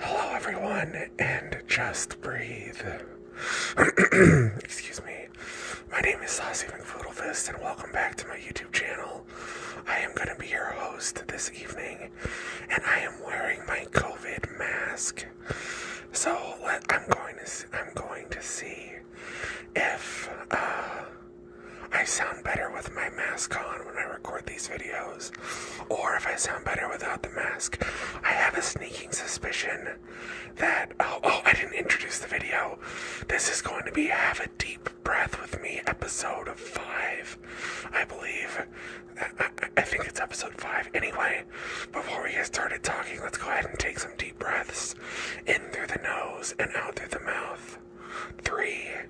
Hello, everyone, and just breathe. Excuse me. My name is Saucy McFoodlefist, and welcome back to my YouTube channel. I am going to be your host this evening, and I am wearing my COVID mask. So I'm going to I'm going to see if uh, I sound better with my mask on when I record these videos or if I sound better without the mask. I have a sneaking suspicion that. Oh, oh, I didn't introduce the video. This is going to be Have a Deep Breath with Me, episode 5, I believe. I, I think it's episode 5. Anyway, before we get started talking, let's go ahead and take some deep breaths in through the nose and out through the mouth. Three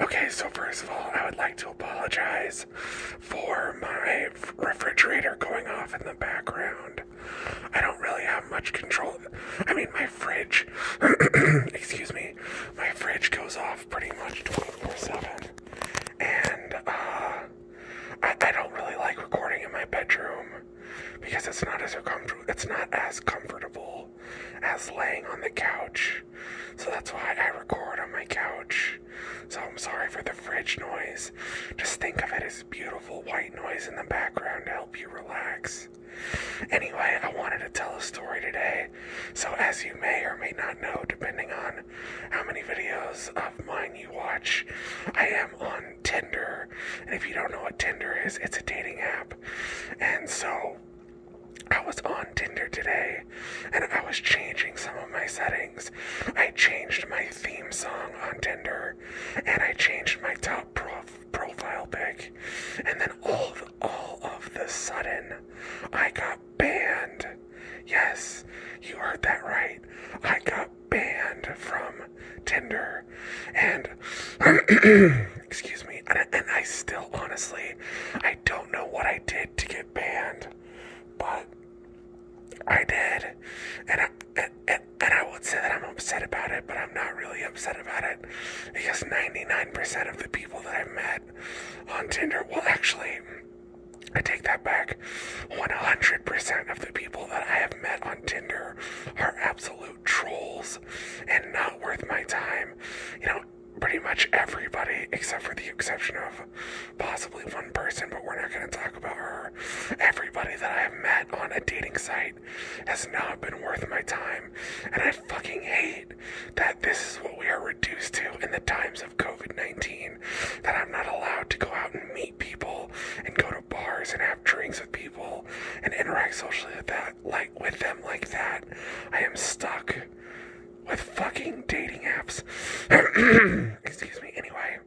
Okay, so first of all, I would like to apologize for my refrigerator going off in the background. I don't really have much control. I mean, my fridge, excuse me, my fridge goes off pretty much 24 7. And, uh,. I, don't really like recording in my bedroom because it's not as It's not as comfortable as laying on the couch. So that's why I record on my couch. So I'm sorry for the fridge noise. Just think of it as beautiful white noise in the background to help you relax. Anyway, I wanted to tell a story today. So, as you may or may not know, depending on how many videos of mine you watch, I am on Tinder. And if you don't know what Tinder is, it's a dating app. And so, I was on Tinder today and I was changing some of my settings. I changed my theme song on Tinder and I changed my top profile pic. And then all all of the sudden I got banned. Yes, you heard that right. I got banned from Tinder. And excuse me. And I, still honestly, I don't know what I did to get banned, but I did. And I, and, and, and I would say that I'm upset about it, but I'm not really upset about it because 99% of the people that I've met on Tinder, well, actually, I take that back. 100% of the people that I have met on Tinder are absolute trolls and not worth my time. You know, pretty much everybody, except for the exception of possibly one person, but we're not going to talk about her. Everybody that I have met on a dating site has not been worth my time. And I fucking hate that this is what we are reduced to in the times of COVID 19 that I'm not allowed to go out and meet people and go to bars and have drinks with people and interact socially with that like with them like that. I am stuck with fucking dating apps. Excuse me. Anyway,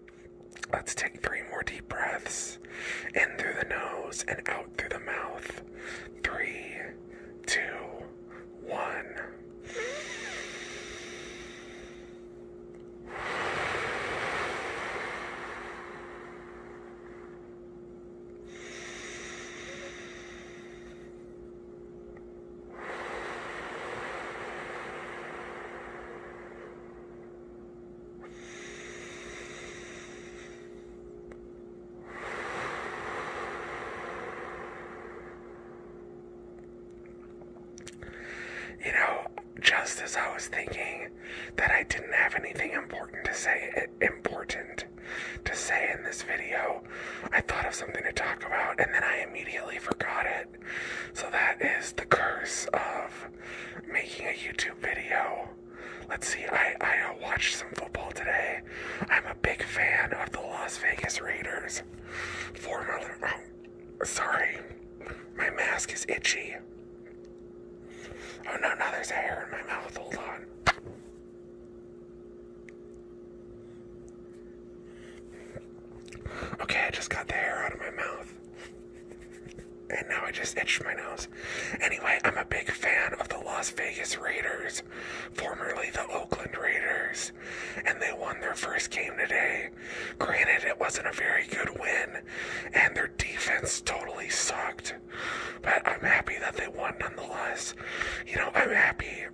let's take three more deep breaths in through the nose and out through the mouth. Three, two, one. You know, just as I was thinking that I didn't have anything important to say important to say in this video. I thought of something to talk about and then I immediately forgot it. So that is the curse of making a YouTube video. Let's see, I, I watched some football today. I'm a big fan of the Las Vegas Raiders. Former, oh, sorry, my mask is itchy. Oh no, now there's hair in my mouth. Hold on. Okay, I just got the hair out of my mouth. And now I just itched my nose. Anyway, I'm a big fan of the Las Vegas Raiders, formerly the Oakland Raiders, and they won their first game today. Granted, it wasn't a very good win, and their defense totally sucked. But I'm happy that they won nonetheless. You know, I'm happy.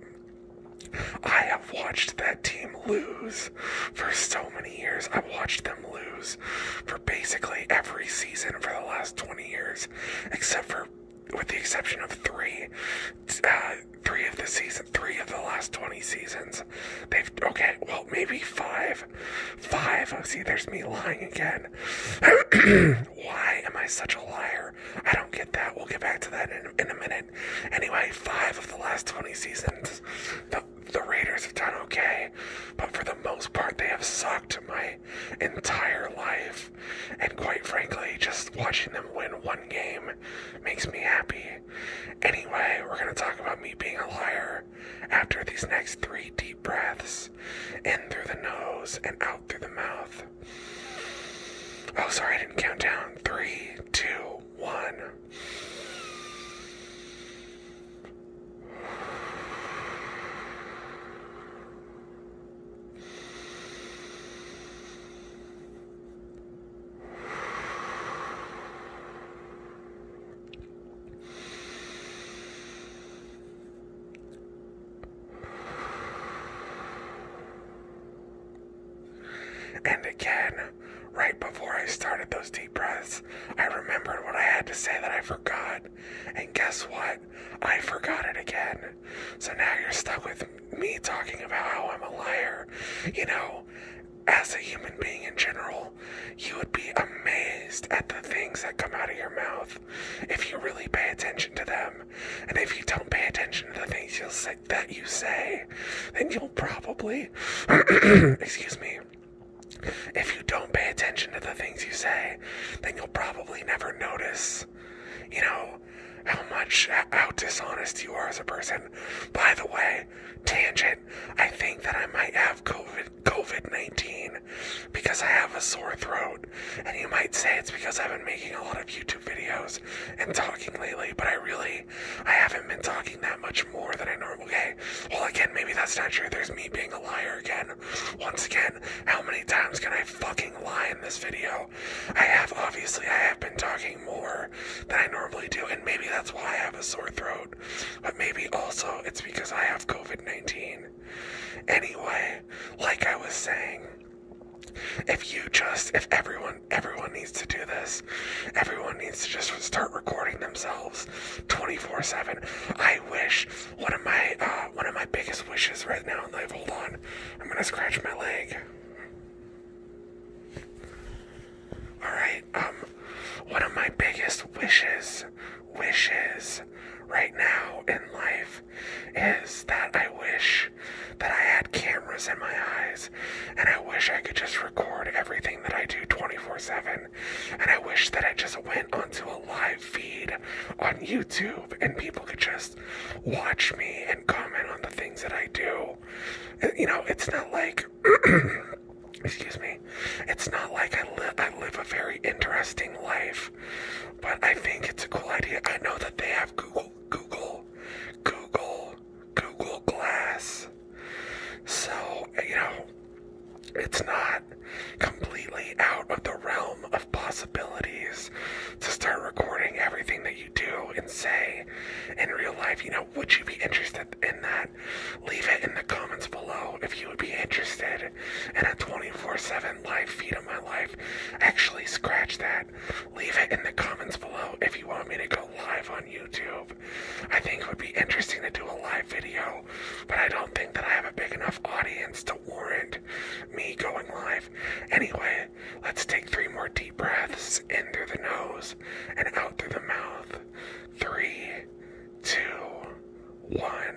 I have watched that team lose for so many years. I've watched them lose for basically every season for the last 20 years, except for, with the exception of three, uh, three of the season, three of the last 20 seasons. They've, okay, well, maybe five five. Oh, see, there's me lying again. Why am I such a liar? I don't get that. We'll get back to that in, in a minute. Anyway, five of the last 20 seasons, the, the Raiders have done okay, but for the most part, they have sucked my entire life. And quite frankly, just watching them win one game makes me happy. Anyway, we're going to talk about me being a liar after these next three deep breaths, in through the nose and out through the mouth. Oh, sorry, I didn't count down. Three, two, one. And again, right before I started those deep breaths, I remembered what I had to say that I forgot. And guess what? I forgot it again. So now you're stuck with me talking about how I'm a liar. You know, as a human being in general, you would be amazed at the things that come out of your mouth if you really pay attention to them. And if you don't pay attention to the things that you say, then you'll probably, excuse me, if you don't pay attention to the things you say, then you'll probably never notice, you know, how much, how dishonest you are as a person. By the way, tangent, I think that I might have COVID COVID 19 because I have a sore throat. And you might say it's because I've been making a lot of YouTube videos and talking lately, but I really, I haven't been talking that much more than I normally. Okay, well, again, maybe that's not true. There's me being a liar again. Once again, how many times can I fucking lie in this video? I have, obviously, I have been talking more than I normally do, and maybe that's why I have a sore throat. But maybe also it's because I have COVID 19. Anyway, like I was saying, if you just if everyone everyone needs to do this everyone needs to just start recording themselves 24 7 i wish one of my uh, one of my biggest wishes right now in life hold on i'm gonna scratch my leg all right um one of my biggest wishes wishes right now in life is that I wish that I had cameras in my eyes and I wish I could just record everything that I do 24 7. And I wish that I just went onto a live feed on YouTube and people could just watch me and comment on the things that I do. You know, it's not like. excuse me it's not like I live I live a very interesting life, but I think it's a cool idea. I know that they have Google Google Google Google Glass. So, you know, it's not completely out of the realm of possibilities to start recording everything that you do and say in real life. You know, would you be interested in that? Leave it in the comments below if you would be interested in a 24 7 live feed of my life. Actually, scratch that. Leave it in the comments below if you want me to go live on YouTube. I think it would be interesting to do a live video, but I don't think that I have a big enough audience to warrant me going live. Anyway, let's take three more deep breaths in through the nose and out through the mouth. Three, two, one.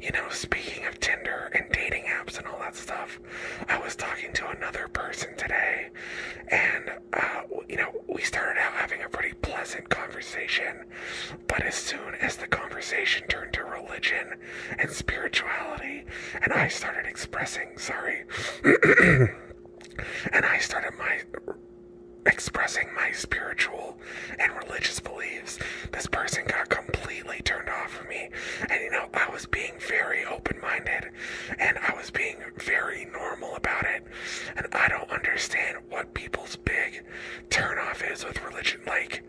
You know, speaking of Tinder and dating apps and all that stuff, I was talking to another person today, and uh, you know, we started out having a pretty pleasant conversation, but as soon as the conversation turned to religion and spirituality, and I started expressing, sorry. and I started my expressing my spiritual and religious beliefs, this person got completely turned off of me. And you know, I was being very open minded and I was being very normal about it. And I don't understand what people's big turn off is with religion. Like,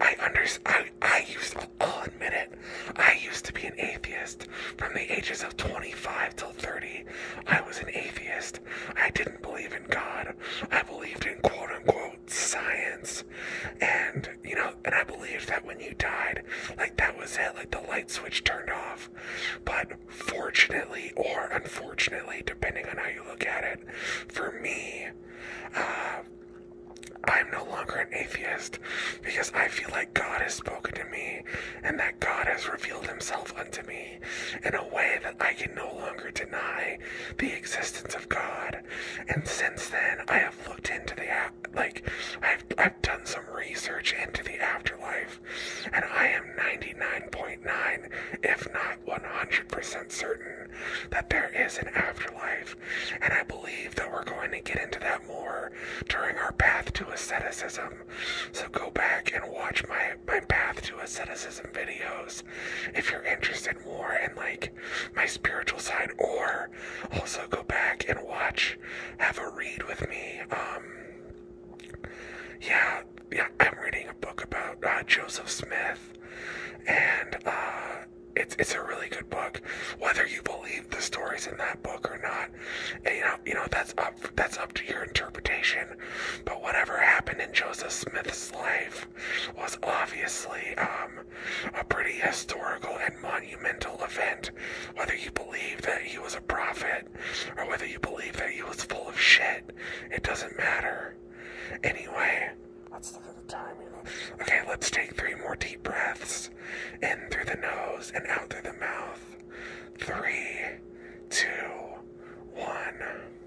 I understand, I, I used, I'll admit it, I used to be an atheist from the ages of 25 till 30. I was an atheist. I didn't believe in God. I believed in quote unquote science. And, you know, and I believed that when you died, like that was it, like the light switch turned off. But fortunately or unfortunately, depending on how you look at it, for me, uh, I'm no longer an atheist because I feel like God has spoken to me and that God has revealed himself unto me in a way that I can no longer deny the existence of God. And since then, I have looked into the like I've I've done some research into the afterlife, and I am 99.9, if not 100% certain that there is an afterlife. And I believe that we're going to get into that more during our path to asceticism. So go back and watch my my path to asceticism videos if you're interested more in like my spiritual side or also go back and watch have a read with me um yeah yeah i'm reading a book about uh, joseph smith and uh it's it's a really good book whether you believe the stories in that book or not and, you know you know that's up that's up to your interpretation but whatever happened in Joseph Smith's life was obviously um, a pretty historical and monumental event. Whether you believe that he was a prophet or whether you believe that he was full of shit, it doesn't matter. Anyway, let's look the time. Okay, let's take three more deep breaths in through the nose and out through the mouth. Three, two, one.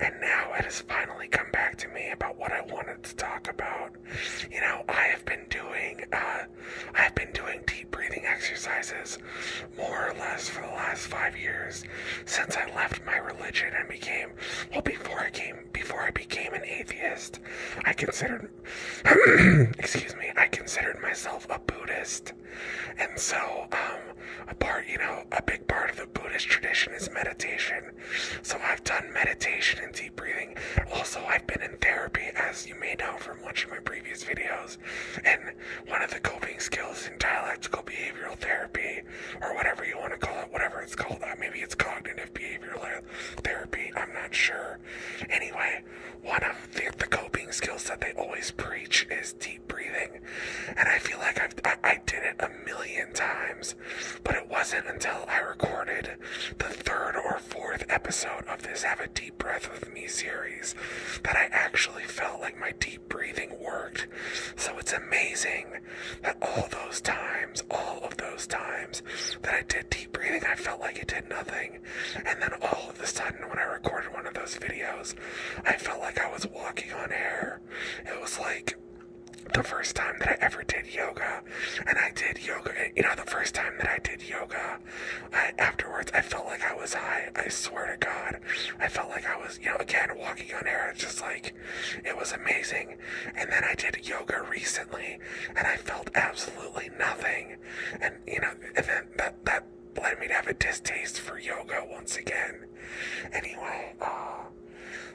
And now it has finally come back to me about what I wanted to talk about. You know, I have been doing, uh, I've been doing deep breathing exercises more or less for the last five years since I left my religion and became, well, before I came, before I became an atheist, I considered, excuse me, I considered myself a Buddhist. And so, um, a part, you know, a big part of the Buddhist tradition is meditation. So I've done meditation and deep breathing. Also, I've been in therapy, as you may know from watching my previous videos. And one of the coping skills in dialectical behavioral therapy, or whatever you want to call it, whatever it's called, uh, maybe it's cognitive behavioral therapy, I'm not sure. Anyway, one of the coping skills that they always preach is deep breathing. And I feel like I've, I, did it a million times, but it wasn't until I recorded the third or fourth episode of this Have a Deep Breath with Me series that I actually felt like my deep breathing worked. So it's amazing that all those times, all of those times that I did deep breathing, I felt like it did nothing. And then all of a sudden, when I recorded one of those videos, I felt like I was walking on air. It was like the first time that I ever did yoga, and I did yoga. Eh, you know, the first time that I did yoga, afterwards I felt like I was high. I swear to God, I felt like I was, you know, again walking on air. It's just like it was amazing. And then I did yoga recently, and I felt absolutely nothing. And you know, and then that that let me have a distaste for yoga once again. Anyway, uh,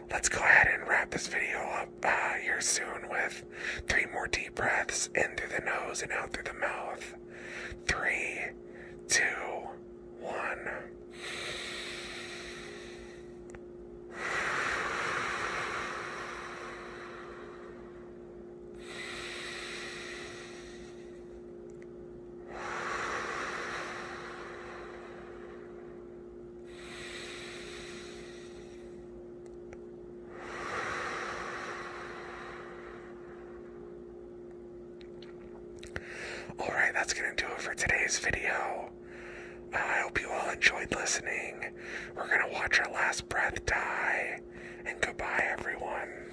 let's go ahead and wrap this video up uh, here soon with three more deep breaths in through the nose and out through the mouth. Three, two, one. Alright, that's going to do it for today's video. I hope you all enjoyed listening. We're going to watch our last breath die. And goodbye, everyone.